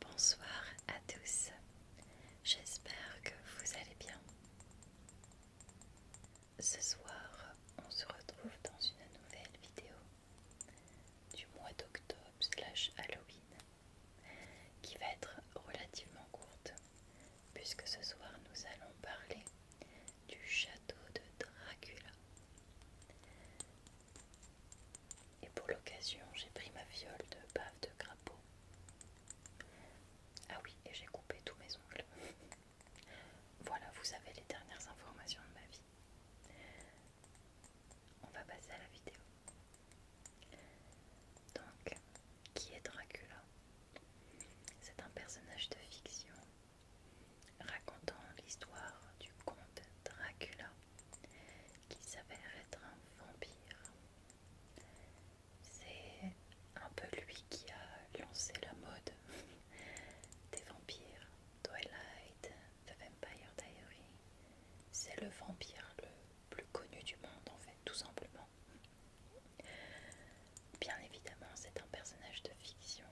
Bonsoir à tous, j'espère que vous allez bien. Ce soir, on se retrouve dans une nouvelle vidéo du mois d'octobre slash Halloween qui va être relativement courte puisque ce soir nous allons parler du château de Dracula. Et pour l'occasion, j'ai pris ma viole de bave de crapaud. Ah oui, et j'ai coupé tous mes ongles. voilà, vous avez les dernières informations de ma vie. On va passer à la vidéo. Donc, qui est Dracula C'est un personnage de fiction racontant l'histoire du comte Dracula qui s'avère être un vampire. C'est un peu lui qui a lancé la mode des vampires. Twilight, The Vampire Diary, c'est le vampire, le plus connu du monde en fait, tout simplement. Bien évidemment, c'est un personnage de fiction.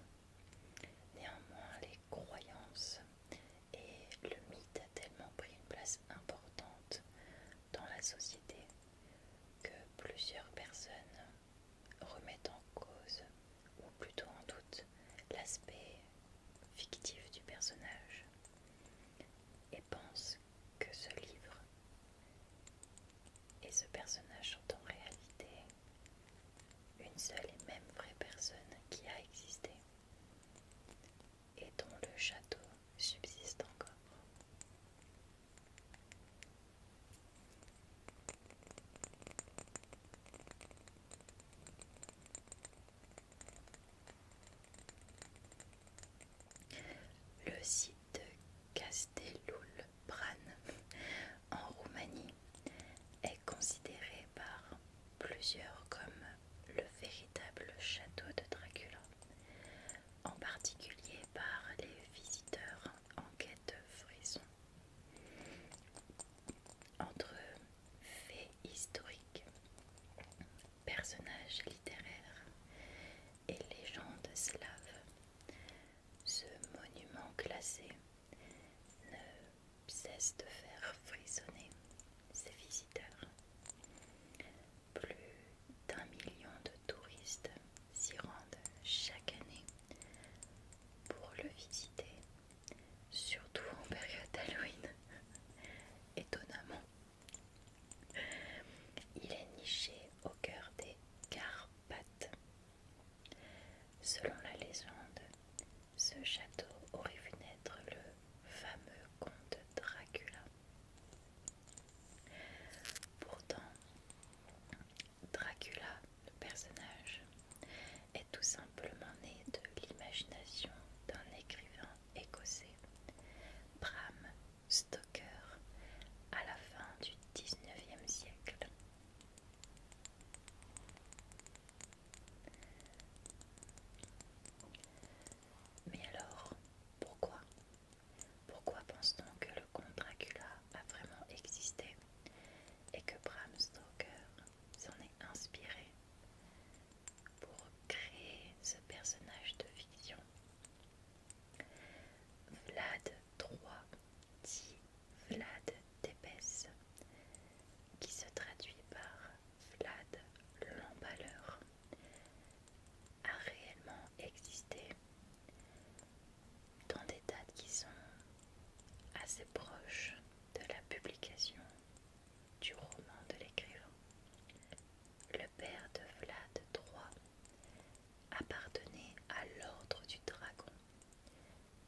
Néanmoins, les croyances et le mythe a tellement pris une place importante dans la société que plusieurs personnes remettent en cause, ou plutôt en doute, l'aspect fictif du personnage et pensent que ce livre et ce personnage sont en réalité une seule et même vraie personne qui a existé et dont le château subsiste encore. Le site de Castelul en Roumanie est considéré par plusieurs comme le véritable château de Dracula, en particulier par les visiteurs en quête de frisson. Entre faits historiques personnages littéraires et légendes slaves. Ce monument classé ne cesse de faire frissonner ses visiteurs. Plus d'un million de touristes s'y rendent chaque année pour le visiter, surtout en période Halloween, étonnamment. Il est niché au cœur des Carpathes. Selon la légende, ce château aurait vu naître le fameux comte Dracula. Pourtant, Dracula, le personnage, est tout simplement né de l'imagination d'un écrivain écossais, Bram Stoker à la fin du 19e siècle. Mais alors, pourquoi Pourquoi pense-t-on que le comte Dracula a vraiment existé et que Bram Stoker s'en est inspiré pour créer ce personnage de fiction Vlad III dit Vlad d'épaisse, qui se traduit par Vlad l'emballeur, a réellement existé dans des dates qui sont assez proches de la publication du roman de l'écrivain le père de Vlad III appartenait à l'ordre du dragon.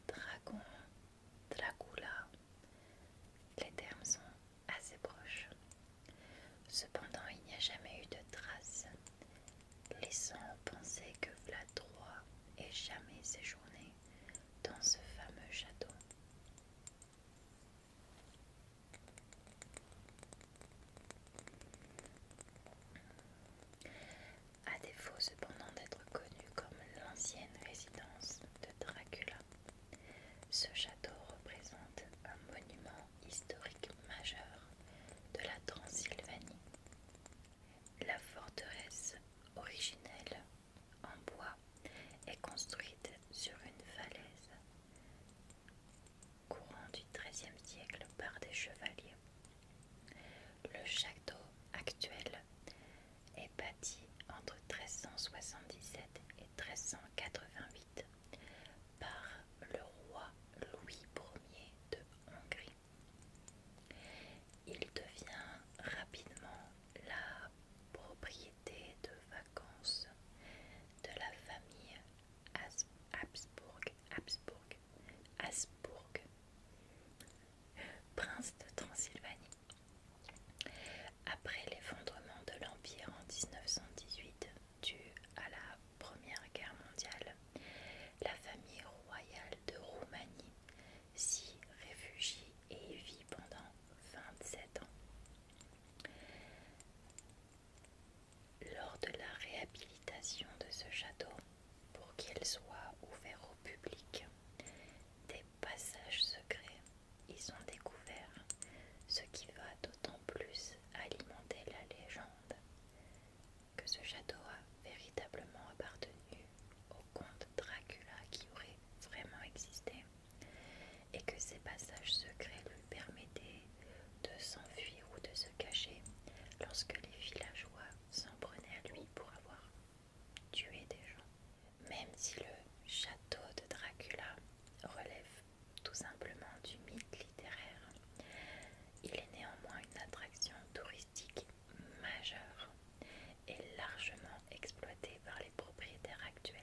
Dragon, Dracula, les termes sont assez proches. Cependant, il n'y a jamais eu de traces, laissant penser que Vlad III ait jamais séjourné dans ce fameux château. À défaut cependant d'être connu comme l'ancienne résidence de Dracula, ce château représente un monument historique majeur de la Transylvanie. La forteresse originelle en bois est construite sur une falaise Courant du XIIIe siècle par des chevaliers. Le château actuel est bâti entre 1377 et 1388 par le roi Louis Ier de Hongrie. Il devient rapidement la propriété de vacances de la famille Habsbourg, Habsbourg, prince de Transylvanie. Après l'effondrement de l'Empire en 1918, dû à la Première Guerre mondiale, la famille royale de Roumanie s'y réfugie et vit pendant 27 ans. Lors de la réhabilitation de ce château, pour qu'il soit ouvert au public, des passages secrets y sont découverts, ce qui va d'autant plus alimenter la légende que ce château a véritablement appartenu au comte Dracula qui aurait vraiment existé et que ses passages secrets lui permettaient de s'enfuir ou de se cacher lorsque les villageois s'en prenaient à lui pour avoir tué des gens. Même si le château de Dracula relève tout simplement du mythe littéraire, il est néanmoins une attraction touristique majeure et largement exploitée par les propriétaires actuels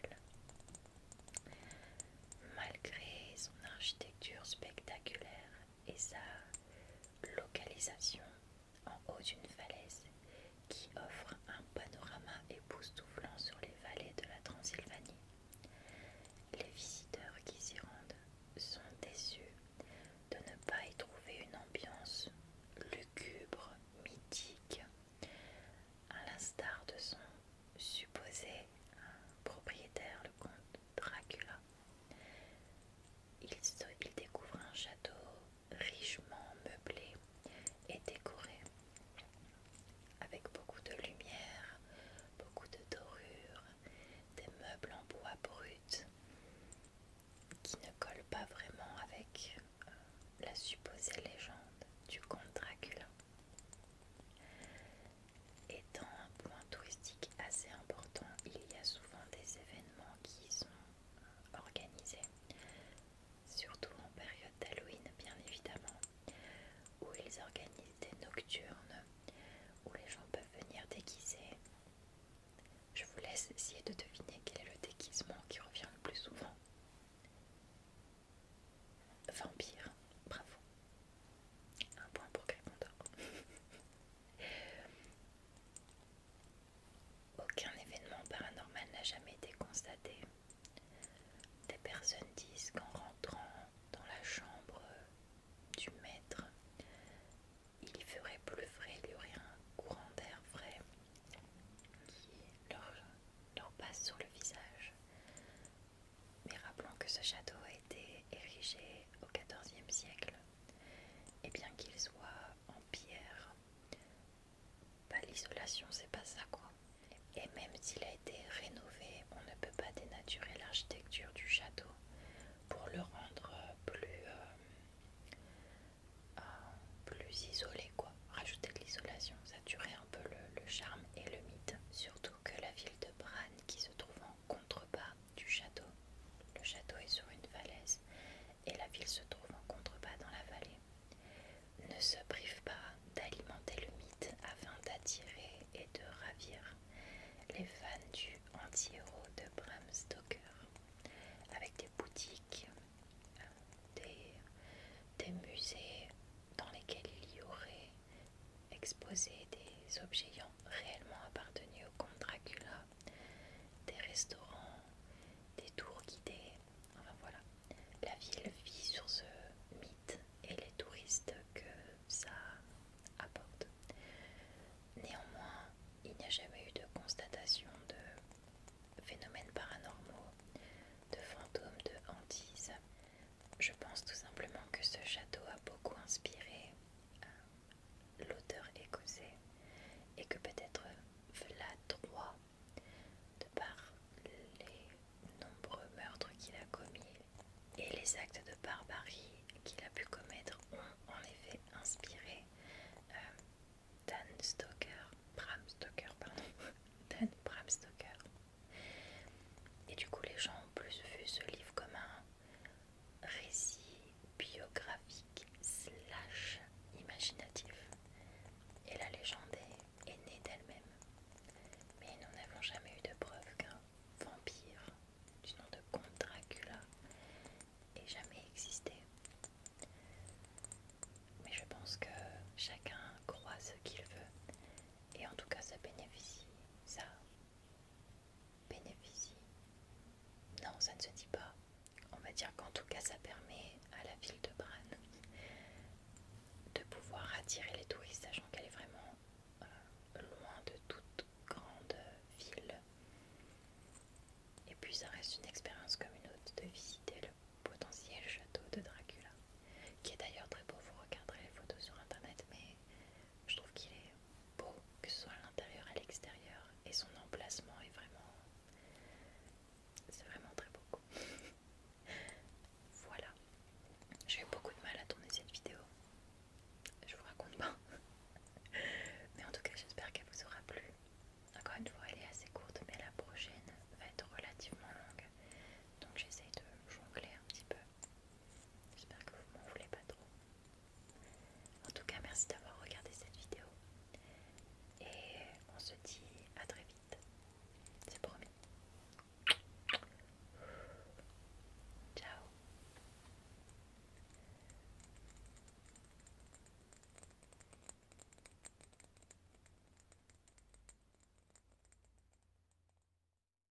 malgré son architecture spectaculaire et sa localisation en haut d'une falaise qui offre un panorama époustouflant sur les vallées de la Transylvanie. Les visiteurs qui s'y rendent sont déçus de ne pas y trouver une ambiance lugubre, mythique, à l'instar de son supposé propriétaire, le comte Dracula. Il, découvre un château richement meublé et décoré, avec beaucoup de lumière, beaucoup de dorures, des meubles en bois brut qui ne collent pas vraiment avec euh, la supposée légende du comte Dracula. Étant un point touristique assez important, il y a souvent des événements qui sont euh, organisés, surtout en période d'Halloween bien évidemment, où ils organisent des nocturnes, où les gens peuvent venir déguiser. Je vous laisse essayer de deviner quel est le déguisement qui revient le plus souvent. Vampire, bravo. Un point pour Gryffondor. Aucun événement paranormal n'a jamais été constaté. Des personnes disent qu'en rentrant dans la chambre du maître, il ferait plus il y aurait un courant d'air frais qui leur passe sur le visage. Mais rappelons que ce château a été érigé au XIVe siècle et bien qu'il soit en pierre, bah, l'isolation c'est pas ça quoi. Et même s'il a été rénové, on ne peut pas dénaturer l'architecture du château pour le rendre plus, euh, euh, plus isolé quoi. Rajouter de l'isolation, ça un peu le charme et le mythe, surtout que la ville de Bran, qui se trouve en contrebas du château. Le château est sur une falaise et la ville se trouve en contrebas dans la vallée. Ne se prive pas d'alimenter le mythe afin d'attirer et de ravir les fans du anti-héros de Bram Stoker avec des boutiques, euh, des musées, dans lesquels il y aurait exposé des objets ayant réellement appartenu au comte Dracula, des restaurants, des tours guidées, enfin voilà. La ville vit sur ce mythe et les touristes que ça apporte. Néanmoins, il n'y a jamais eu de constatation de phénomènes paranormaux, de fantômes, de hantises. Je pense tout simplement que ce château a beaucoup inspiré euh, l'auteur écossais et que peut-être Vlad droit de par les nombreux meurtres qu'il a commis et les actes de barbarie qu'il a pu commettre, ont en effet inspiré euh, Dan Stoker, Bram Stoker, Bram Stoker. Et du coup, les gens ont plus vu ce livre comme un récit biographique slash imaginatif. Et la légende est, née d'elle-même. Mais nous n'avons jamais eu de preuve qu'un vampire du nom de Comte Dracula ait jamais existé. Mais je pense que chacun croit ce qu'il veut. Et en tout cas, ça bénéficie, ça Bénéficie Non, ça ne se dit pas. On va dire qu'en tout cas, ça permet à la ville de Bran de pouvoir attirer les touristes, sachant qu'elle est vraiment euh, loin de toute grande ville. Et puis, ça reste une expérience comme une autre de visiter le potentiel château de Dracula, qui est d'ailleurs très beau. Vous regarderez les photos sur internet, mais je trouve qu'il est beau, que ce soit à l'intérieur, à l'extérieur, et son emplacement est vraiment. C'est vraiment très beau. voilà. J'ai eu beaucoup de mal à tourner cette vidéo. Je vous raconte pas. mais en tout cas, j'espère qu'elle vous aura plu. Encore une fois, elle est assez courte, mais la prochaine va être relativement longue. Donc j'essaye de jongler un petit peu J'espère que vous m'en voulez pas trop. En tout cas, merci d'avoir regardé cette vidéo. Et on se dit à très vite. C'est promis. Ciao.